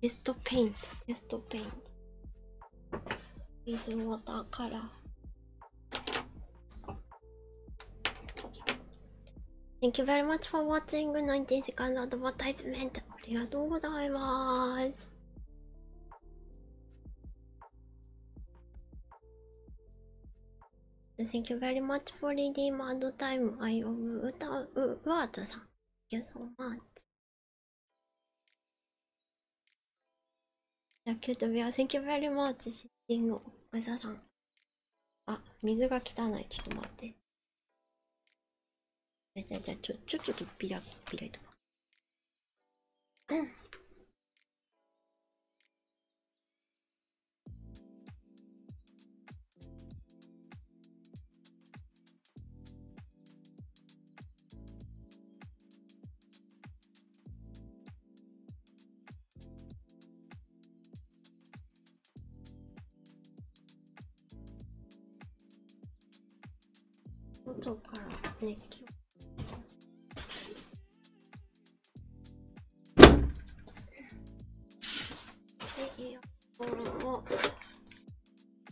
テストペイントテストペイント水ウォーターカラー Thank you very much for watching 19 seconds advertisement ありがとうございます「Thank you very much for reading mad time I of 歌うワードさん」「Thank you so much」キュートビア、Thank you very much! シッティング、おざさん。あ、水が汚い。ちょっと待って。じゃじゃちょ、ちょ、ちょっとピラピラとか。うん。外から熱気を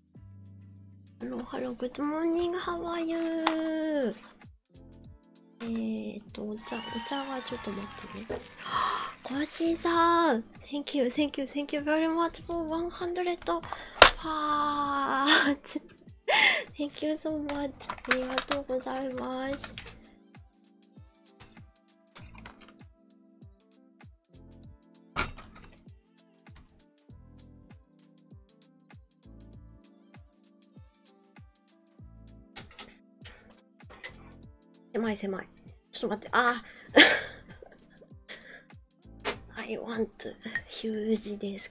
h ロ l l o hello, good morning, how are you? えっと、お茶、お茶はちょっと待ってね。コーシーさん !Thank you, thank you, thank you very much for 100 hearts! thank you so much! ありがとうございます。狭い狭い。ちょっと待って、ああ I want huge desk.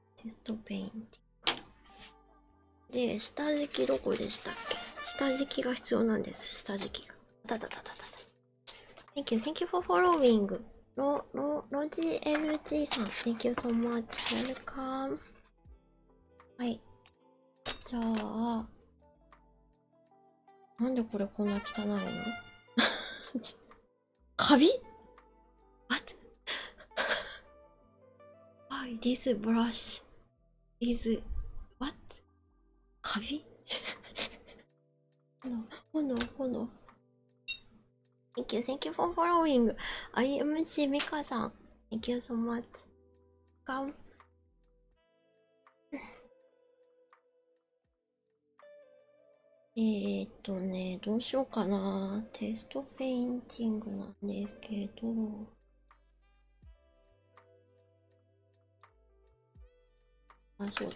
テストペインティック。で下敷きどこでしたっけ下敷きが必要なんです下敷きがだだだだだ Thank you thank you for following ロロロジエジーさん Thank you so much welcome はいじゃあなんでこれこんな汚いの カビ ?What? Why this brush is what? カビ炎炎炎 Thank you, thank you for following. IMC Mika さん。Thank you so much. かんえっとね、どうしようかな。テストペインティングなんですけど。あ、そうだ。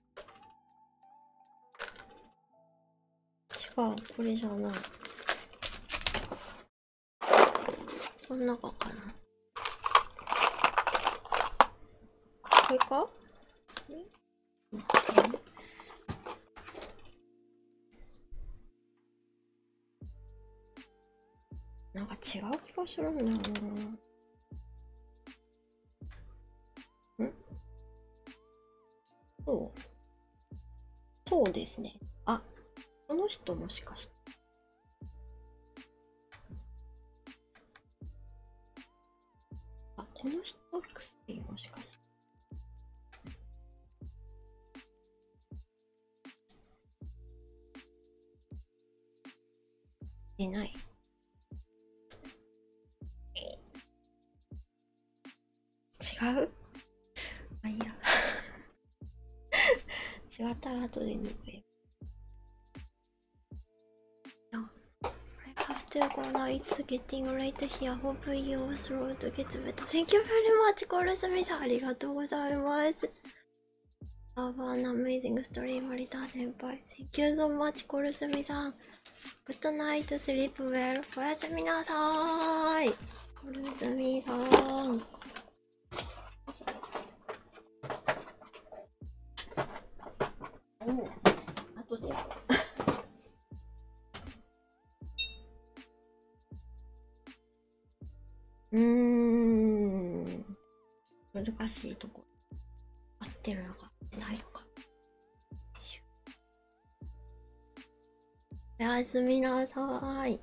違う、これじゃないこん中かなこれか待ってなんか違う気がするんだよなうんそう。そうですね。あ、この人もしかして。あ、この人はクステもしかして。出ない。違うあ、いや。違ったら後で抜くよ。I have to go now. It's getting late here. Hopefully your throat gets better. Thank you very much, コールスミさん。ありがとうございます。Have an amazing story, 森田先輩。Thank you so much, コールスミさん。グッドナイトスリープウェル、おやすみなさい。おやすみさん。うん。難しいとこ。合ってるのか、ないのか。おやすみなさい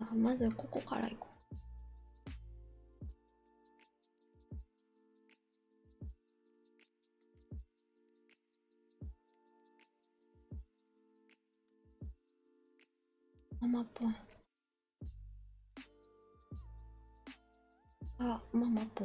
あまずここから行こうママぽん。あ、ママポ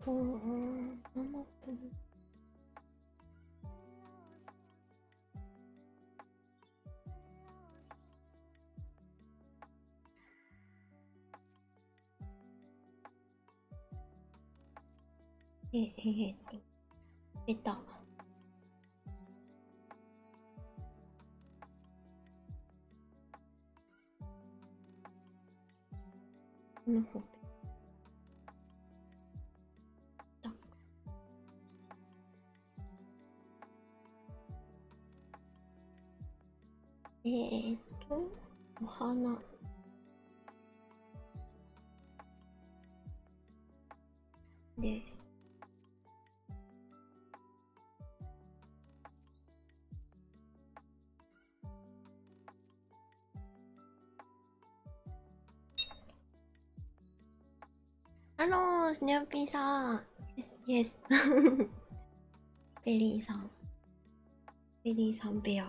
ぷーん、ママぷーん。え、えー、え、と、出た。のほうえっと、お花。で、ハロー、スネオピーさん。イエス。ベリーさん。ベリーさんペア。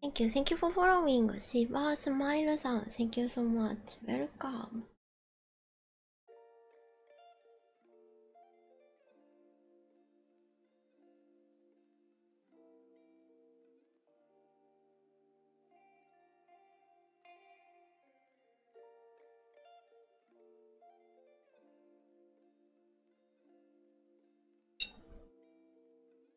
Thank you, thank you for following. Shiba Smile san, thank you so much. Welcome.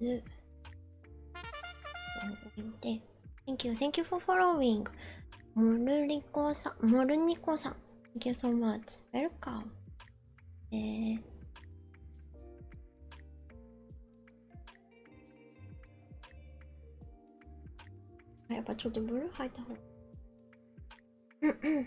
10 20 Thank you, thank you for following モルリコさん、モルニコさん Thank you so much, welcome えーあやっぱちょっとブルー入った方がうんうん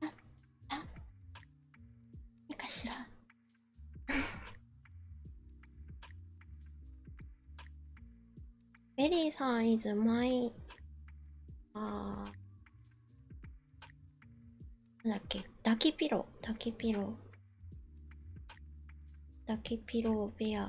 ああいいかしらベリーサイズ、マイ。y あなんだっけダキピロダキピロダキピロベア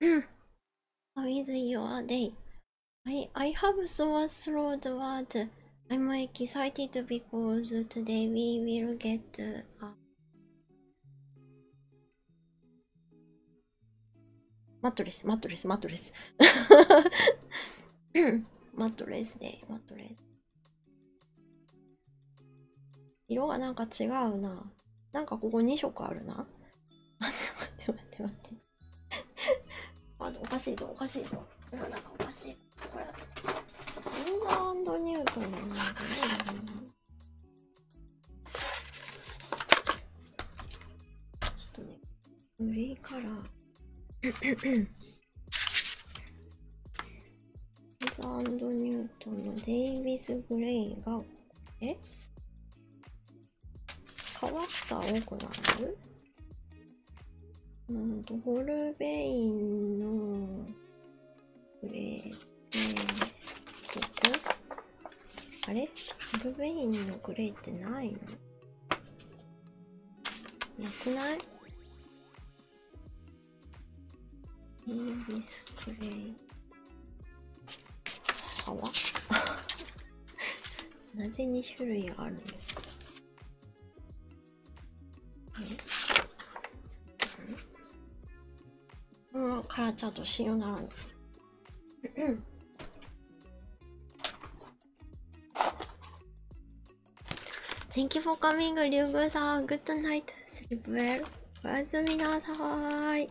with mm. your day. I I have sore throat, but I'm excited because today we will get. Uh, mattress, mattress, mattress. mattress day, mattress. 色がなんか違うな。なんかここ2色あるな。待って待って待って待って。あおかしいぞおかしいぞ。なんかおかしいぞ。これ。リンガーニュートンのなんかね。ちょっとね、グレーカラー。イズ・ンド・ニュートンのデイビス・グレイが、えっ下オクラムうんと、ホルベインのグレイ、えー、どこあれホルベインのグレイってないのなくないネイビスプレイはなぜ2種類あるのうん、カラーチャートしよならん。Thank you for coming, リ y ウグウさん。Good night. おやすみなさい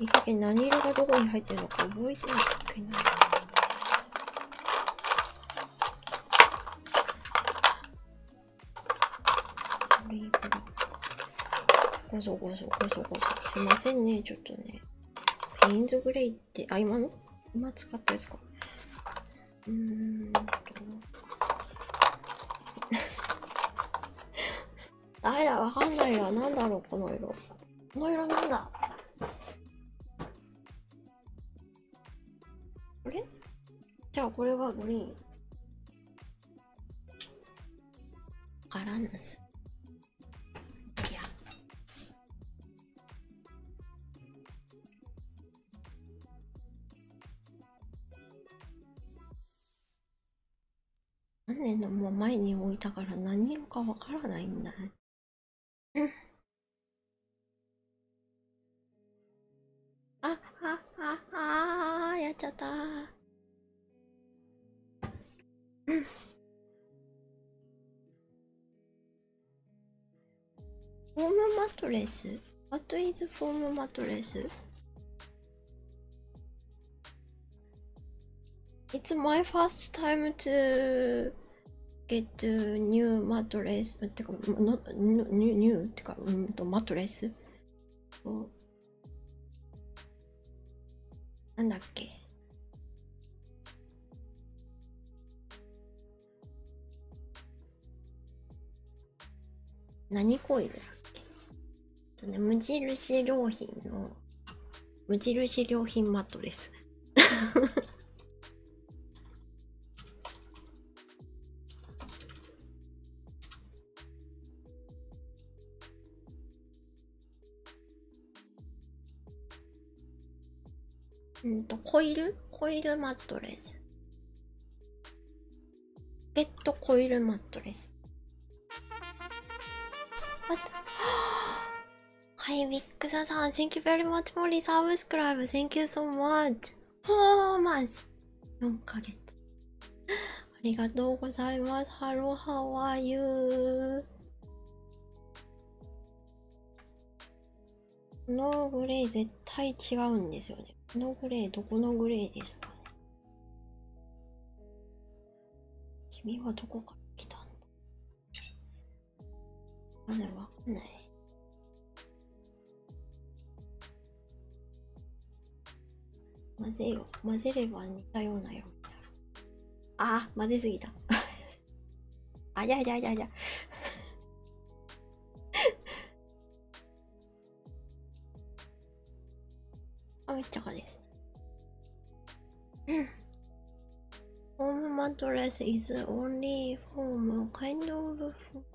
いい加何色がどこに入ってるのか覚えてないけないごそごそごそごそすいませんねちょっとねペインズグレイってあ今の今使ったですかうーんとあれだわかんないやなんだろうこの色この色なんだあれじゃあこれはグリーンからんすいや何年のも前に置いたから何色かわからないんだね あっはっははやっちゃった フォームマトレス ?What is フォームマトレス ?It's my first time to get new mattress ってか not new, new ってかうんとマットレスなんだっけ何コイルだっけと、ね、無印良品の無印良品マットレスうんとコイルコイルマットレスペットコイルマットレスあっはいビッグザさん Thank you very much for the subscribe Thank you so much はあまず4ヶ月ありがとうございますハロハワイユーこのグレー絶対違うんですよねこのグレーどこのグレーですかね君はどこから来たんだわかんない、わかんない。混ぜよ。混ぜれば似たようなよ。ああ、混ぜすぎた。あじゃあじゃあじゃじゃあ。めっちゃかです。ホームマ mattress is only home kind of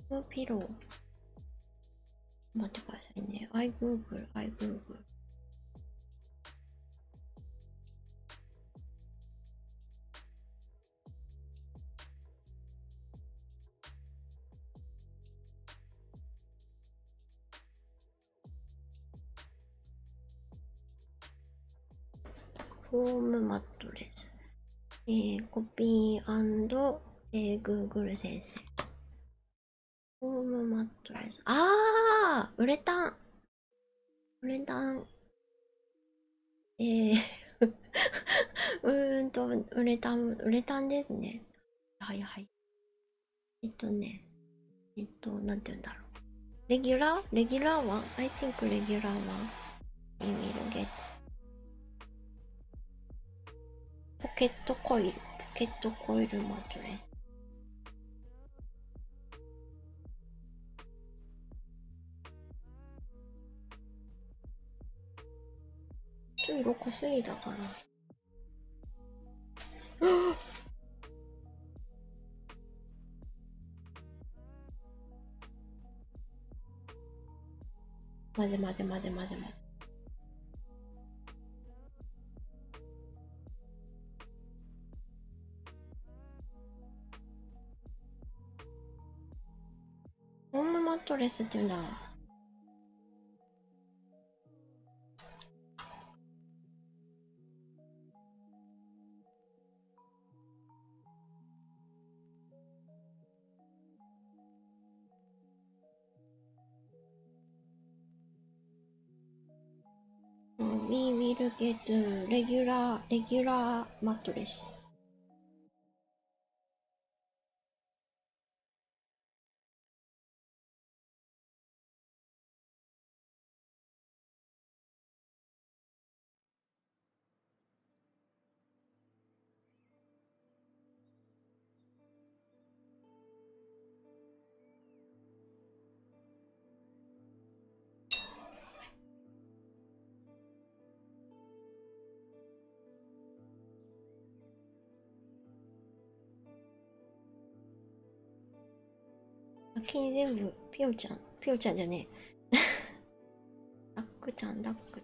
フーピロー。待ってくださいね。アイ o ーグル、アイ g ーグル。l フォームマットレス。えー、コピーえー、Google 先生。ホームマットレス。あーウレタンウレタン。え うんと、ウレタン、ウレタンですね。はいはい。えっとね、えっと、なんて言うんだろう。レギュラーレギュラーはアイ h i n k レギュラーは意味のゲット。ポケットコイル、ポケットコイルマットレス。ちょい6過ぎたかな。混ぜ混ぜ混ぜ混ぜ混ぜ。ホームマットレスっていうんだ。We will get regular, regular mattress. 先に全部、ぴよちゃん、ぴよちゃんじゃねえ。ダックちゃん、ダック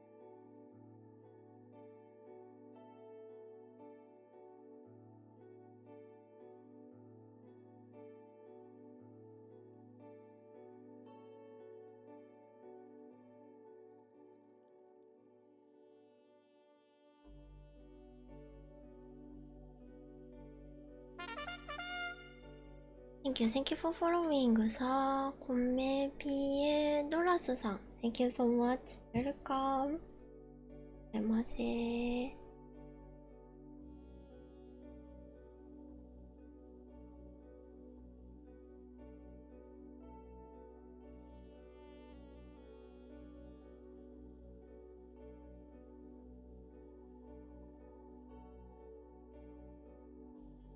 Thank you, thank you for following, sir. あ、コメピエドラスさん。Thank you so much. Welcome. いらっしゃいませー。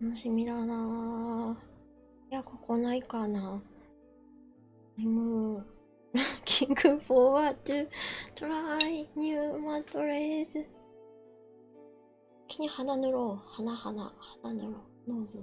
楽しみだないや、ここないかな。M。キングフォーワードトライニューマトレーズ。気に鼻塗ろう。鼻、鼻、鼻塗ろう。ノーズの。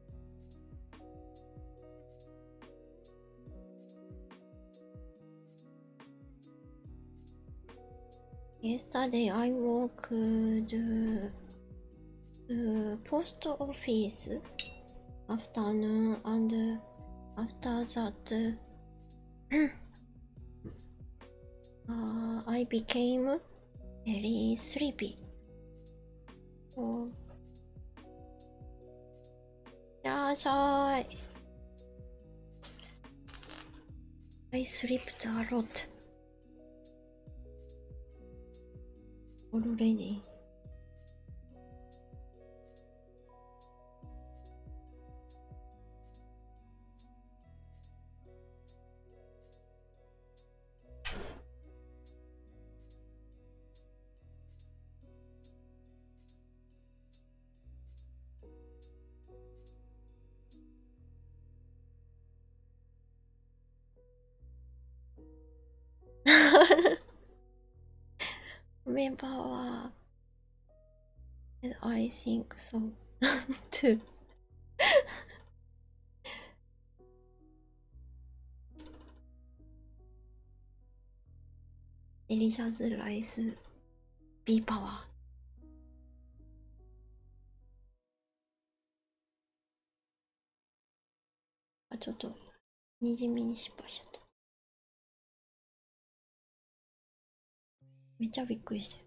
Yesterday I walked the uh, post office afternoon and after that uh, I became very sleepy. Oh. いらっしゃい。I slept a lot. Already. あ Member, uh, and I think so too. d リ l i c i o u s rice, あ、ちょっと、にじみに失敗しちゃった。めっちゃびっくりしてる。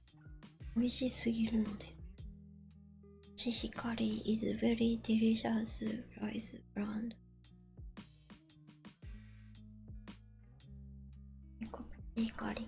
美味しすぎるのです。シヒカリ is very delicious rice brand. シヒカリ。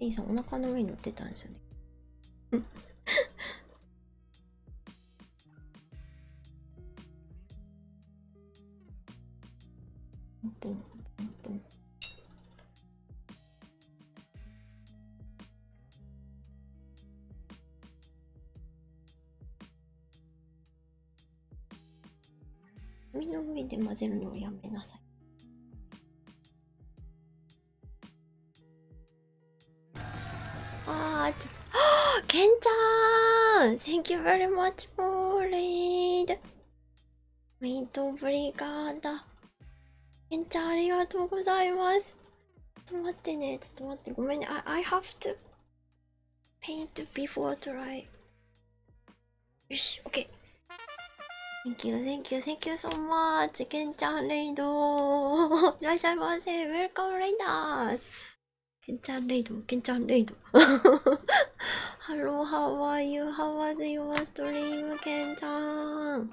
リーさんお腹の上に乗ってたんですよね。うんポンポンポンポン紙の上で混ぜるのをやめなさい。あーちょ、ケンちゃん !Thank you very much for r e トブリガーダ。けんちゃんありがとうございます。ちょっと待ってね、ちょっと待って、ごめんね。I, I have to paint before dry. よし、OK。Thank you, thank you, thank you so much. けんちゃんレイドー。いらっしゃいませ。Welcome, レイダーけんちゃんレイド、けんちゃんレイド。hello how are you? How was your stream? けんちゃん。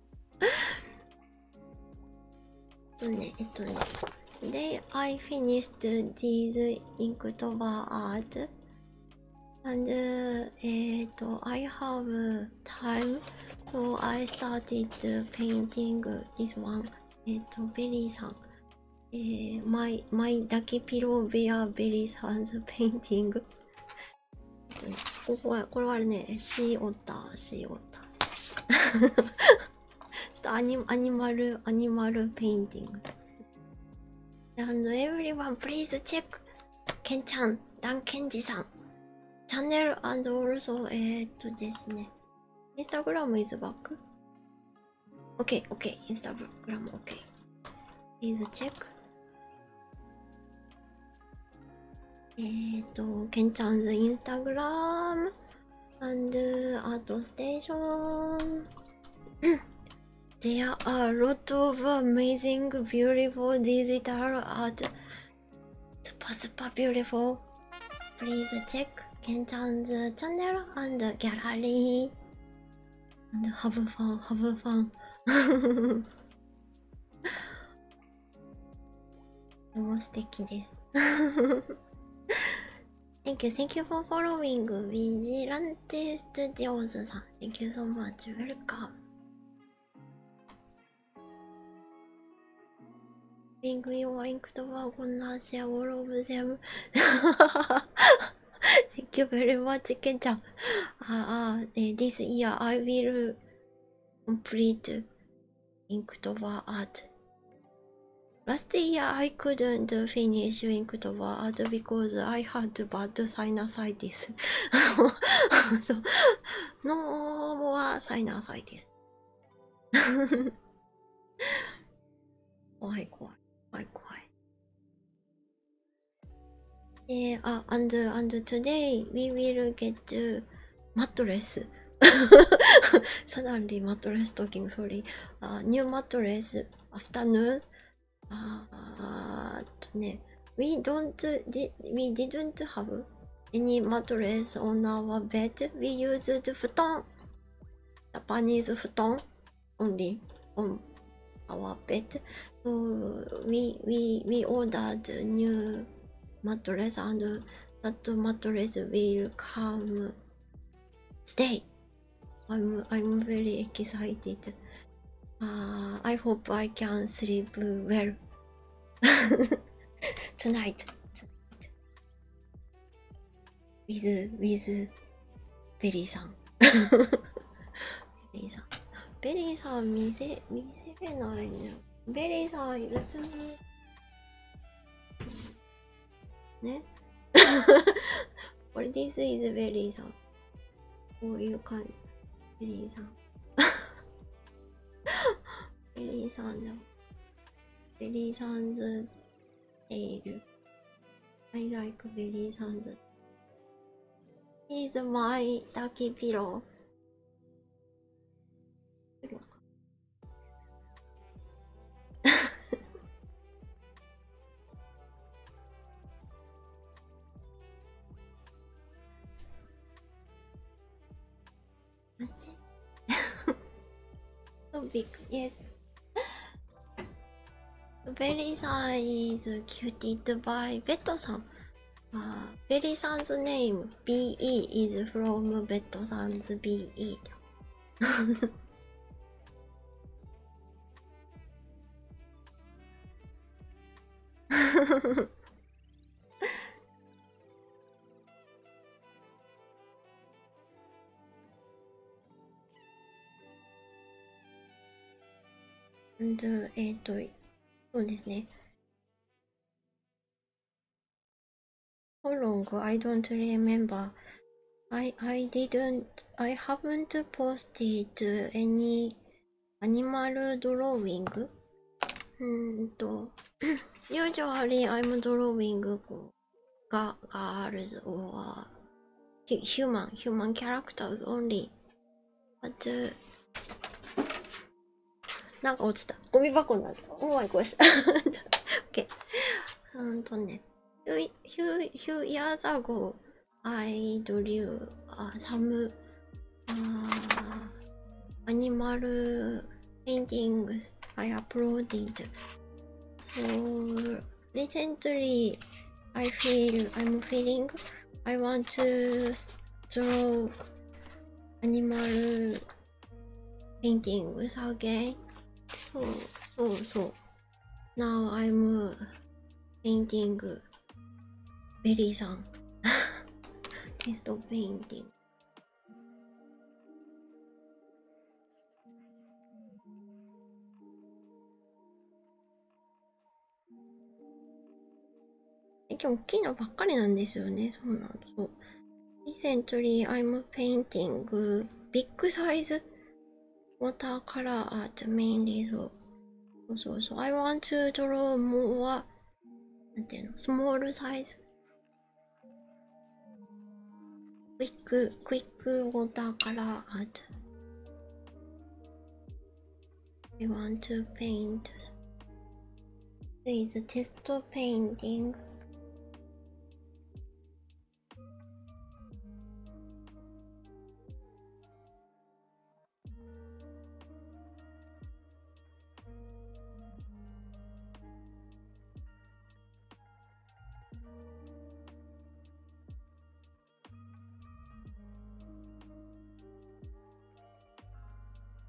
ねえっとね Today I finished these Inktober art and eh, I have time so I started painting this one えっとベリーさんえー、my, my だけピローベアベリーさん 's painting ここはこれはあれねシーオッターシーオッター ちょっとアニアニマルアニマルペインティング And everyone please c h ケンちゃんダンケンジさんチャンネルアンドウルソ、o えっとですねインスタグラムイズバック。オッケー、オッケー、インスタグラムオッケー。プリーズチェック。Instagram and There are a lot of amazing, beautiful digital art. Super, super beautiful. Please check Kenchan's channel and gallery. And have fun, have fun. すても素敵です Thank you, thank you for following Vigilante Studios Thank you so much, welcome n g your i n k e o u t h a n k you very much, k e n c h a u this year I will complete Inktober art. Last year I couldn't finish Inktober art because I had bad sinusitis. so, no more sinusitis. 怖い怖い怖い怖い。で、あ、and and today we will get マットレス Suddenly mattress talking, sorry. Uh, new mattress afternoon. Uh, ne, we don't, we didn't have any mattress on our bed. We used futon, Japanese futon only on our bed. So we we we ordered new mattress and that mattress will come stay. I'm I'm very excited. Uh, I hope I can sleep well tonight. With with Berry san. Berry san. ベリーさん見れ見せれないんだよベリーさん、別に。ねこれ This is ベリーさこういう感じ。ベリーさん。ベリーさんじゃん。ベリーさんズテイル。I like ベリーさんズ。is my タキピロー。big. Yes. Very size cutie to buy. ベッドさん。あベリーさんズネイム BE is from ベッドさんズ BE とそうですね How long? I don't remember. I I didn't. I haven't posted any animal drawing. うんと usually I'm drawing ga girls or human human characters only. But なんか落ちた。ゴミ箱になった。おーい、こいした。OK。うんとね。Few, few, few years ago, I drew uh, some uh, animal paintings I uploaded. So recently, I feel I'm feeling I want to draw アニマルペインティング is okay そうそうそう Now I'm painting Berry さん Crystal painting 今日大きいのばっかりなんですよねそうなんだ。そう2センチュリー I'm painting ビッグサイズウォーターカラーアートメインリーゾそうそうそう I want to draw more なんていうのスモールサイズクイッククイックウォーターカラーアート We want to paint There is a test painting.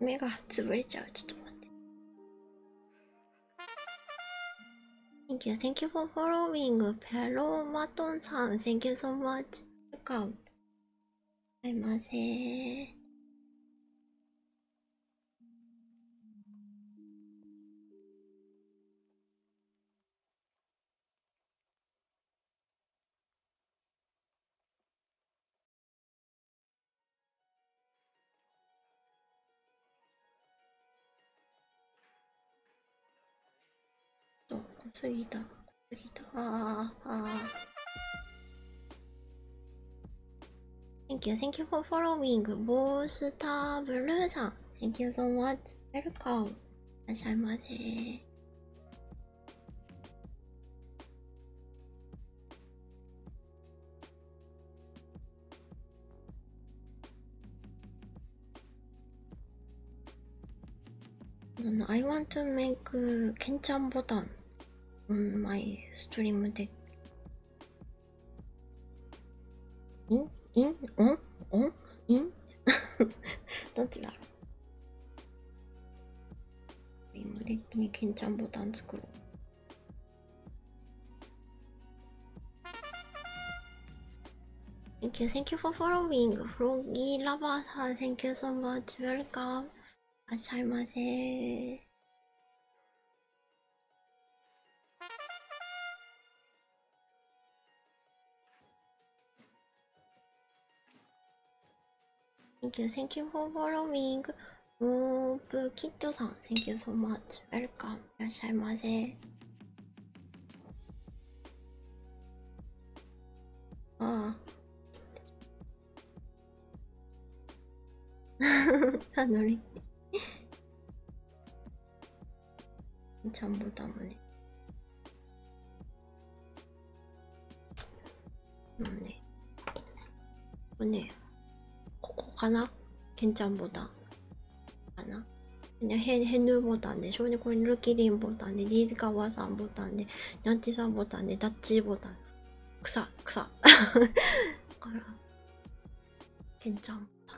目が潰れちゃうちょっと待って Thank you, thank you for following ペロマトンさん Thank you so much Welcome はいませーと、濃すぎた、濃すぎた、ああ、ああ。Thank you, thank you for following. ボースターブルーさん。Thank you so much. Welcome. いらっしゃいませ。I want to make Kenchan button on my stream deck. In? In? On? On? In? どっちだろう今デッキにケンちゃんボタン作ろう Thank you for following. Froggy Lover さん、Thank you so much. Welcome. いらっしゃいませー。Thank you, thank you for following. ムープキッドさん、Thank you so much. Welcome. いらっしゃいませ。ああ。ハンドル。ちゃんぼたもね。まあね。これね、ここかなケンちゃんボタン。かなヘヘヌーボタンでしょで、これルキリンボタンで、リーズカワさんボタンで、ニャンチさんボタンで、ダッチボタン。草、草。だから、ケンちゃんボ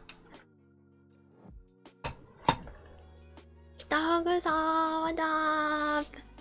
タン。北ハさん、ワダー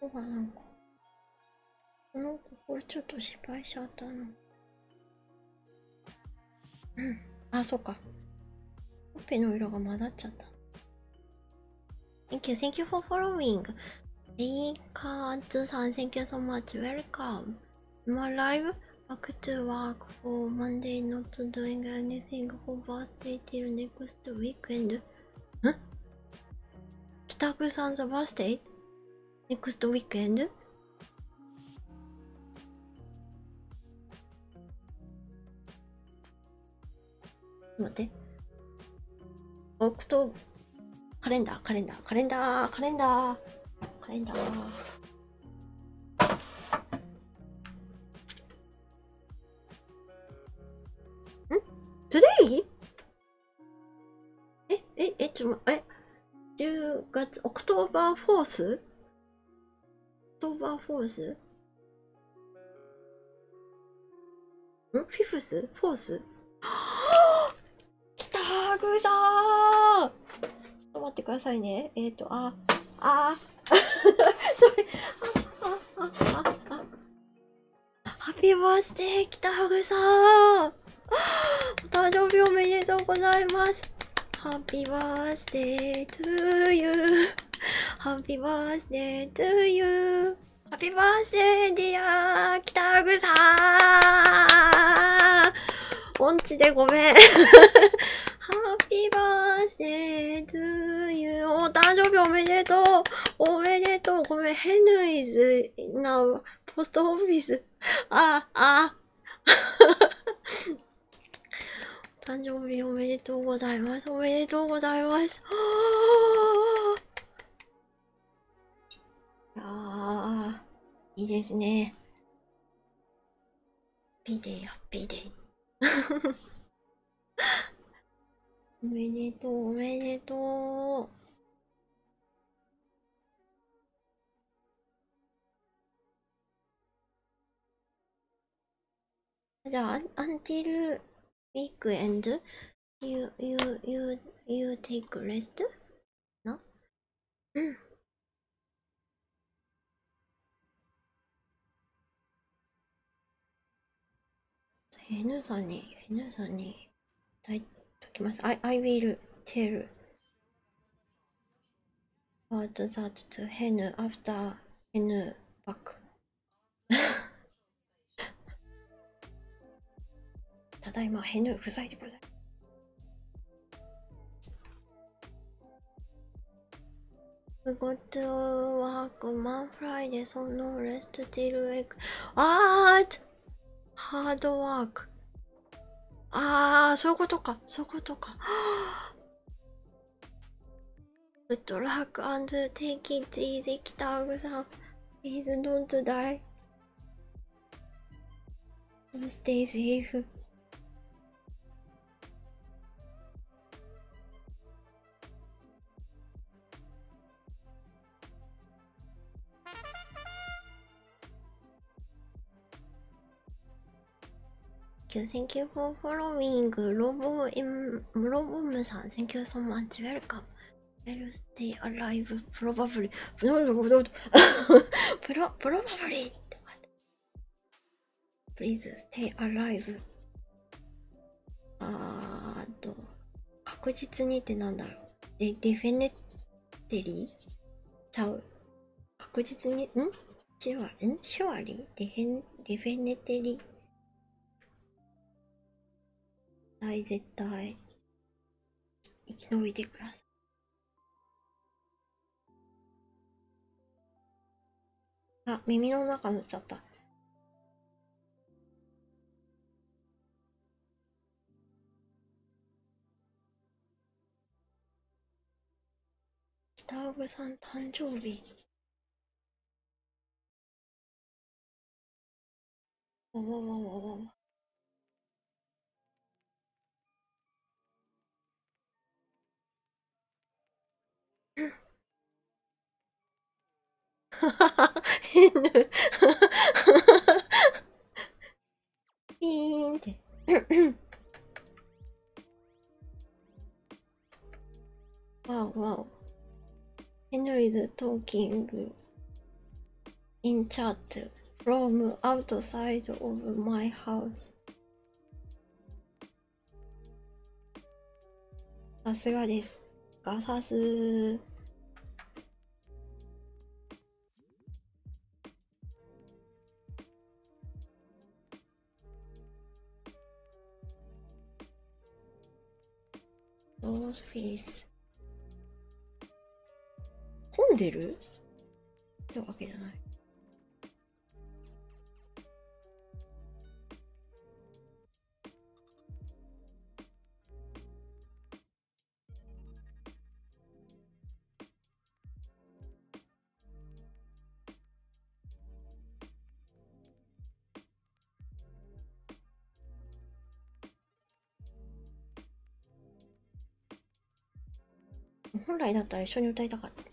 そうかなんかこのところちょっと失敗しちゃったなうんあそうかほっぺの色が混ざっちゃった Thank you, thank you for following. Hey, Kanzu san, thank you so much. Welcome. I'm alive. Back to work for Monday, not doing anything for birthday till next weekend. ん北久さん the birthday? Next weekend? 待ってオクトカレンダーカレンダーカレンダーカレンダーカレンダーん ?Today? ええええょえ10月オクトーバーフォーストーバーフォースんフィフスフォースはきたーグちょっと待ってくださいねえっ、とあああああああハッピーバースデーきたぐさお 誕生日おめでとうございます Happy birthday to you Happy birthday to you Happy birthday dear 北口さん音痴でごめん Happy birthday to you お誕生日おめでとうおめでとうごめん Henry's now post office ああお 誕生日おめでとうございますおめでとうございますああ。いいですねハッピーデイハッピーデイ おめでとうおめでとうじゃあ、until week end, you, you, you, you take rest? なうん。N さんに、N さんに、たいときます。I, I will tell あと d that to hen after hen back ただいまヘヌ不在でございますマンフライでそのレストティルエクあーハドワークああそういうことかそういうことか Good luck and take it easy, Kitag-san. Please don't die. Stay safe. あ you, thank you for following. Robo M Robo san thank you so much. Welcome. I'll stay alive probably. No, no, no. Pro probably. Please stay alive. あーと、確実にってなんだろう。で、ディフェネテリーちゃう。確実に、んシュワんシュワリデヘンデフェネテリ絶対絶対生き延びてくださいあ耳の中塗っちゃった北川さん誕生日わわわわわわははは、変な。ピーンって。Wow, wow. Henry is talking in chat from outside of my house. さすがです。ガサス。ローズフィース。混んでるってわけじゃない。本来だったら一緒に歌いたかったけど。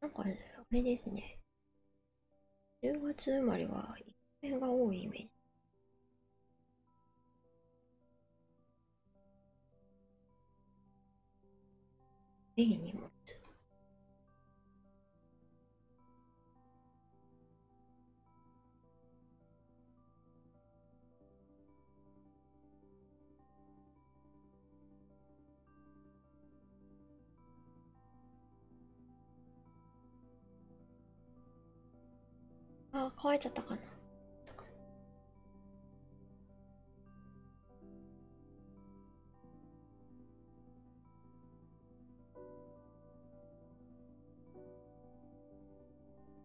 なんかあれですね。10月生まれは、一平が多いイメージ。ぜひ荷物。ああ、乾いちゃったかな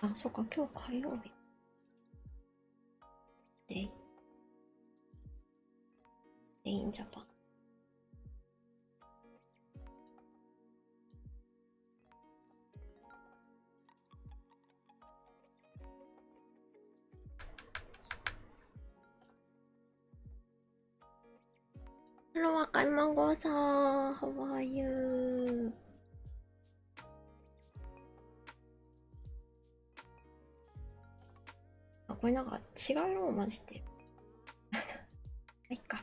あ、そっか、今日火曜日。で、で、インジャパン。Hello, Wakaimango-san. How are you? あ、これなんか違う色を混じってる。いっか。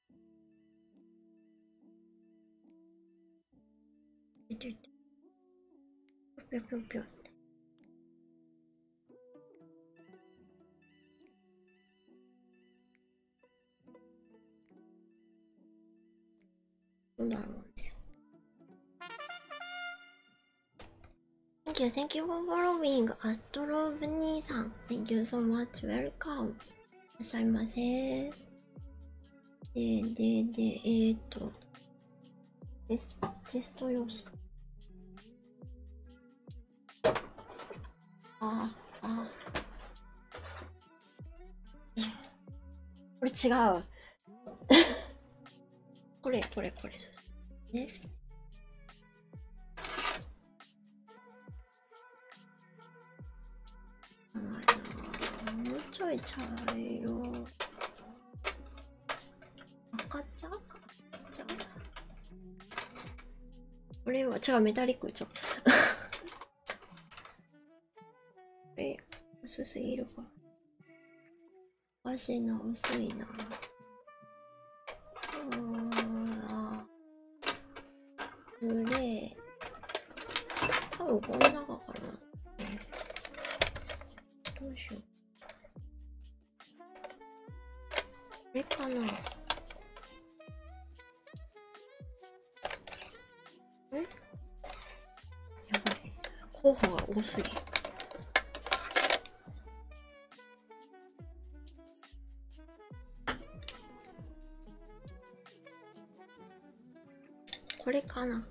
ちょちょぴょぴょぴょって。なんだろう。Thank you, thank you for following Astro n 兄さん。Thank you so much, welcome. らっしいません。でででえっとテステスト用紙あーあーこれ違う これこれこれでねもうちょい茶色赤茶茶これは茶メタリックちょこれ薄すぎるか足の薄いなああグレー。多分この中かな。どうしよう。これかな。うん。やばい。候補が多すぎ。これかな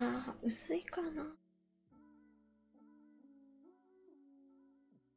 あ薄いかな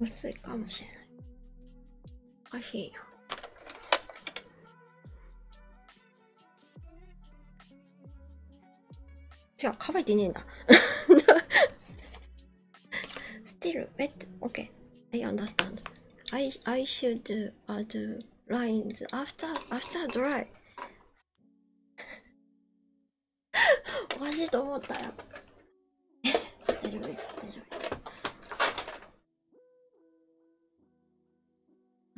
薄いかもしれない。あ、かしいな。違う、乾いてねえんだ。Still wet. o k I understand. I, should do, uh, do lines after, after dry. おかしいと思ったよ。大丈夫です、大丈夫です。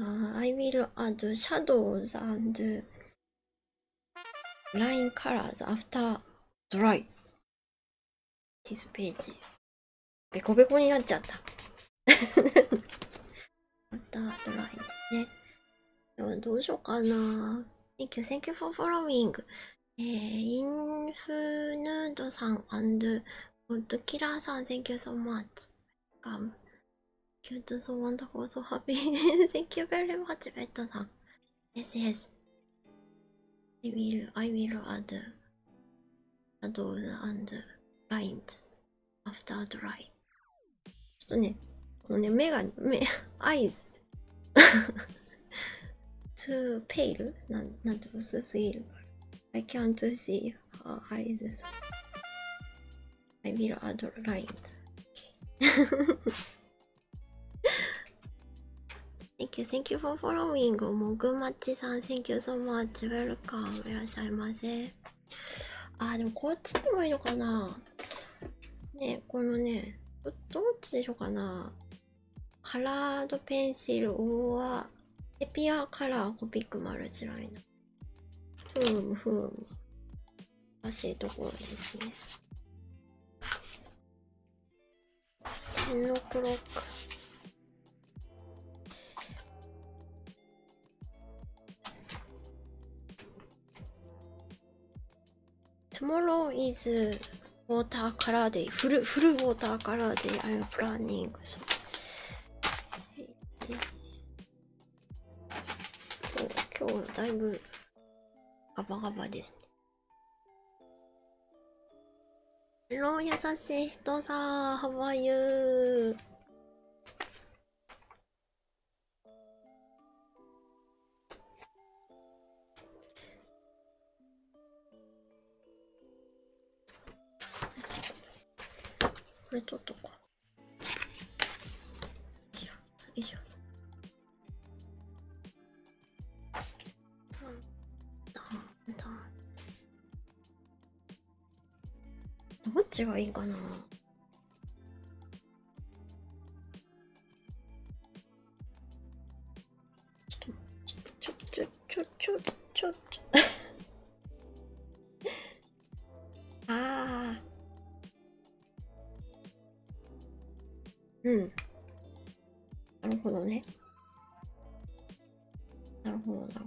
Uh, I will add shadows and line colors after dry. This page. ベコベコになっちゃった。after dry ですね。どうしようかな。Thank you, thank you for following. えー、インフヌードさん、アンドゥ、ゴッキラーさん、Thank you so much. c o m e Cute, so wonderful, so happy. Thank you very much, ベッドさん。s s I will, I will add s a d o w s and lines after dry. ちょっとね、このね、目が、目、eyes too pale? なんなんて薄すぎるから I can't see her eyes I will add light、okay. Thank you, thank you for following もぐまちさん Thank you so much Welcome いらっしゃいませあーでもこっちでもいいのかなねこのねどっちでしょうかなカラードペンシルは、エピアカラーコピックマルチライナふーむふーむ難しいところですね天のクロック Tomorrow is watercolor day. Full, full watercolor day. I'm planning. So. Oh, 今日だいぶガバガバですね。Hello, 優しい人さん How are you? これ取っとこう。よいしょ。よいしょ。どっちがいいかなちょちょちょちょちょちょああうんなるほどねなるほどなるほど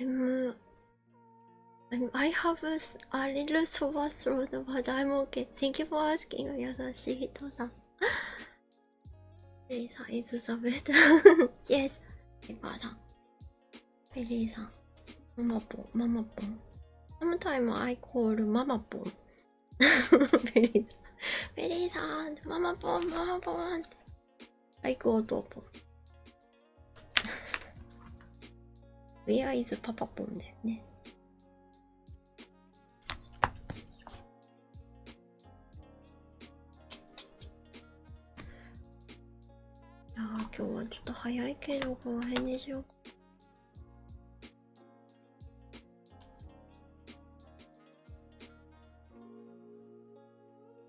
I'm, uh, I'm I have a, a little sore throat, but I'm okay. Thank you for asking, Yasashihito-san. Ray-san is the best. yes, Paper-san. Perry-san. Mamapon, Mamapon. Sometimes I call Mamapon. Perry-san, Perry-san, Mamapon, Mamapon. 最高トーポン Where is パパポンですねああ、今日はちょっと早いけどこの辺にしようか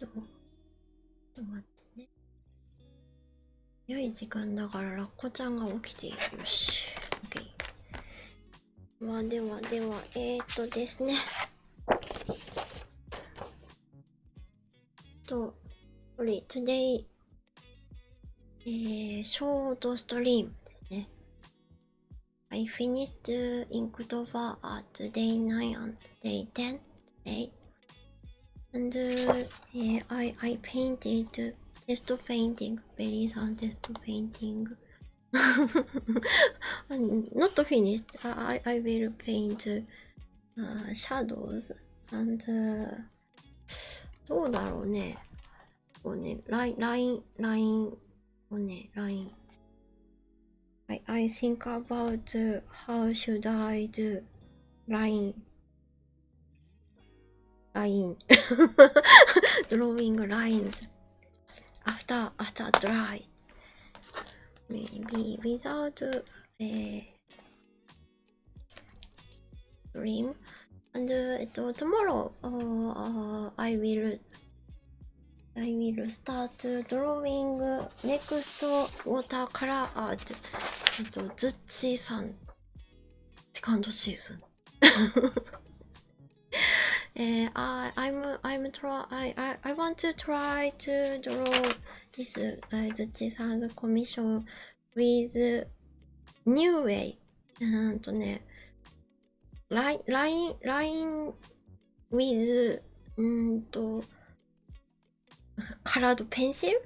と、ちょっと待ってね。良い時間だからラッコちゃんが起きているし。o まあではでは、えっとですね。So, sorry, today, uh, short stream. I finished Inktober at day 9 and day 10 today. And uh, I, I painted test painting, very and test painting. Not finished, I, I will to paint uh, shadows and uh, どうだろうねこうねラインラインラインをねライン I, I think about how should I do ラインラインドローイングラインズ after after dry maybe without a cream and uh, tomorrow uh, I will I will start drawing next watercolor art えっとズッチーさんセカンドシーズンえー、I, I'm, I'm try, I, I, I want to try try to draw this Zuchi San's commission with new way. うんとね、line, line, line with うんと、colored pencil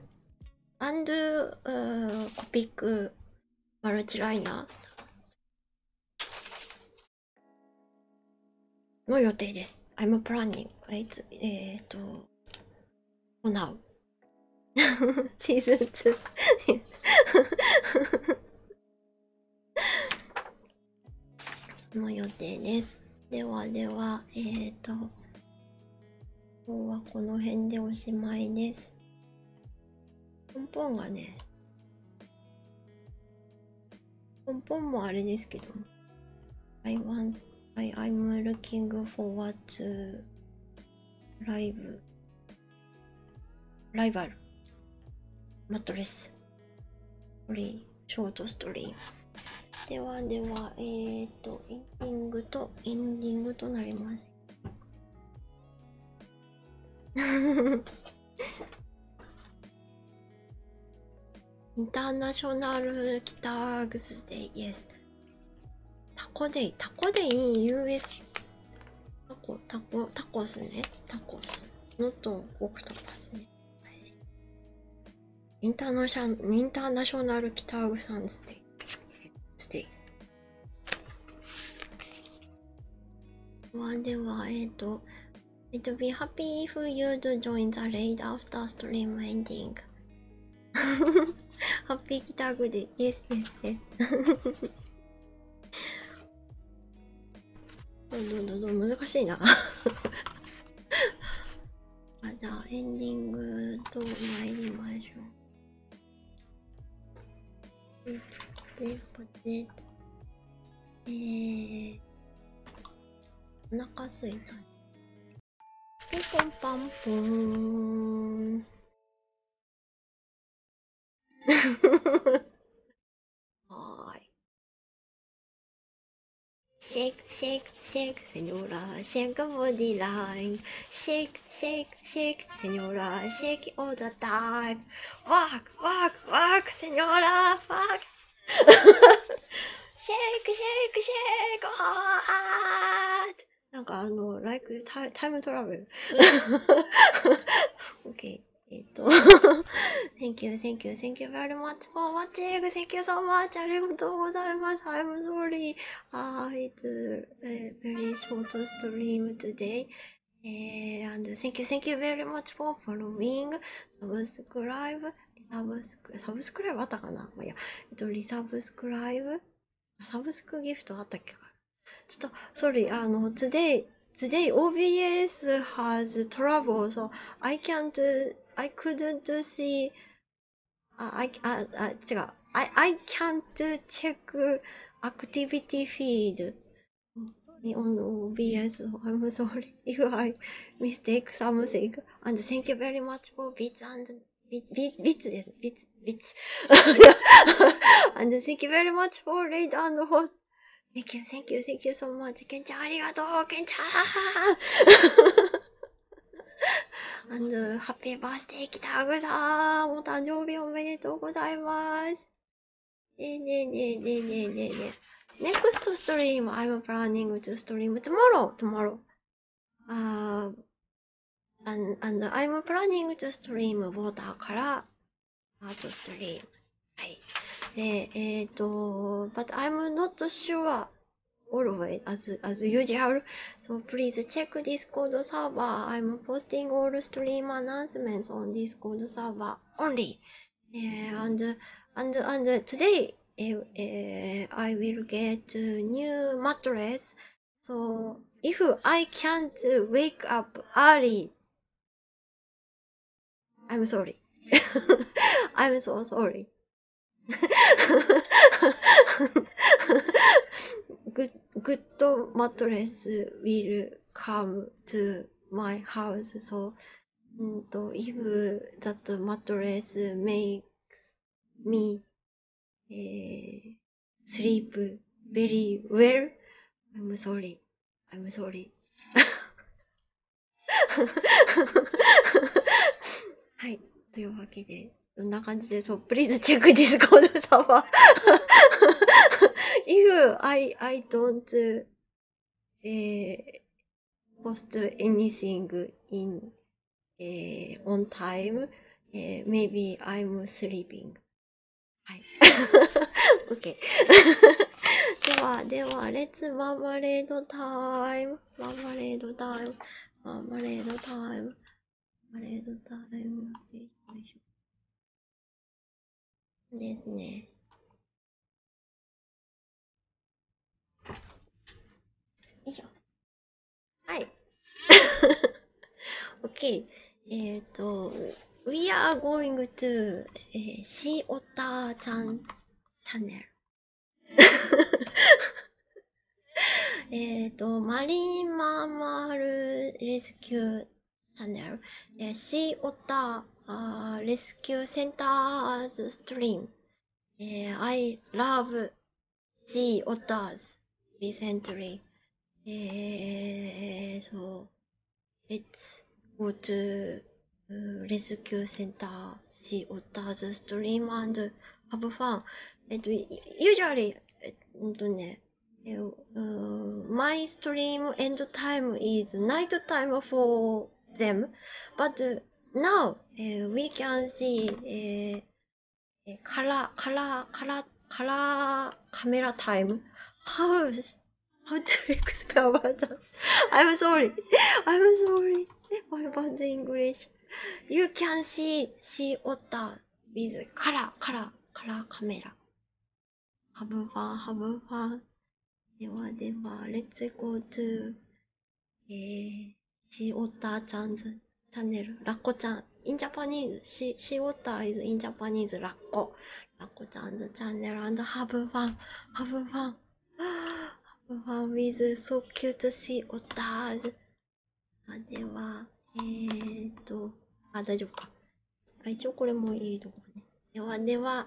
and、uh, copic multiliner. の予定です。I'm planning. i t えっ、と、for シーズン2の予定です。ではでは、えっ、と、今日はこの辺でおしまいです。ポンポンがね、ポンポンもあれですけど I want, I, I'm looking forward to ライブライバルマットレスストリーショートストリーではではえっとエンディングとエンディングとなります International Kitags Day, yes. Taco Day, Taco Day in US. Taco, Taco, Tacos, ne? Tacos. Not Octopus, ne? International, International Kitags Day. Day. はではえっ、ー、と It would be happy if you do join the raid after stream ending. happy Kitaguri. Yes, yes, yes. どんどんどんどん難しいなあ。じゃあエンディングと参りましょう。ポテポテと。えー。お腹すいたピンポンパンプン はいシェイクシェイクシェイクセニョラシェイクボディラインシェイクシェイクセニョラシェイキオーダータイムワークワークワークセニョラワークシェイクシェイクシェイクハーってなんかあの、like タタイムトラベル。OK。えっと、Thank you, thank you, thank you very much for watching. Thank you so much. ありがとうございます。I'm sorry. Uh, it's a very short stream today. And thank you, thank you very much for following. サブスクライブリサブスク、サブスクライブあったかなまあ、いや、えっと、リサブスクライブサブスクギフトあったっけかちょっと、sorry, あの、today, today OBS has trouble, so I can't, I couldn't see, I, I, I, 違う、I, I can't check activity feed on OBS, I'm sorry. if I mistake something. And thank you very much for bits and bits, bits です。bits, bits. and thank you very much for raid and host. Thank you, thank you, thank you so much. ケンちゃんありがとうケンちゃん and ハッピーバースデー北グさんお誕生日おめでとうございます。ねえねえねえねえねえねえねえ。Next stream, I'm planning to stream tomorrow, tomorrow. Uh, and, and I'm planning to stream water からアートストリーム。はい。で、えっ、ー、と、but I'm not sure always as, as usual. So please check Discord server. I'm posting all stream announcements on Discord server only. Uh, and and and uh, today eh, eh, I will get a new mattress. So if I can't wake up early, I'm sorry. I'm so sorry. good good mattress will come to my house so うんと、if that mattress makes me、えー、sleep very well, I'm sorry, I'm sorry. はい。というわけで、そんな感じで、そう、please check Discord server. If I, I don't えー、post anything in、えー、on time、え maybe I'm sleeping はい OK ではではレッツマーマレードタイムマーマレードタイムマーマレードタイムマーマレードタイムですねいしょ。はい。OK。えっ、ー、と、We are going to、えー、Sea Otter ちゃんチャンネル。えっと、マリンマーマルレスキューチャンネル。えー、Sea Otter、uh, Rescue Center's Stream えー、I love the otters recently. えー、so, let's go to rescue center, see otters stream and have fun. えっと、usually, えっとね、My stream end time is night time for them. But now we can see color, color, color, color camera time. How how to explain about that? I'm sorry. I'm sorry about the English. You can see sea otter with color, color, color camera. Have fun, have fun. ではでは、Let's go to えー、シーオッターチャンズチャンネル、ラッコちゃん、インジャパニーズ、シーオッターイズインジャパニーズ、ラッコ、ラッコちゃんズチャンネル、アンドハブファン、ハブファン、ハブファンウィズソ so cute s e ターズ。t では、えーと、あ、大丈夫か。あ一応これもいいとこね。ではでは、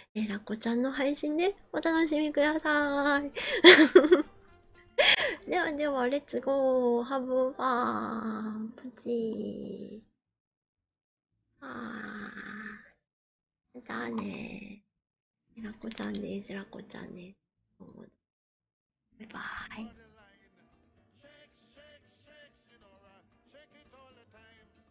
えらこちゃんの配信でお楽しみください ではではレッツゴーハブファンプチーあ。じゃあねーえらこちゃんですえらこちゃんですバイバーイ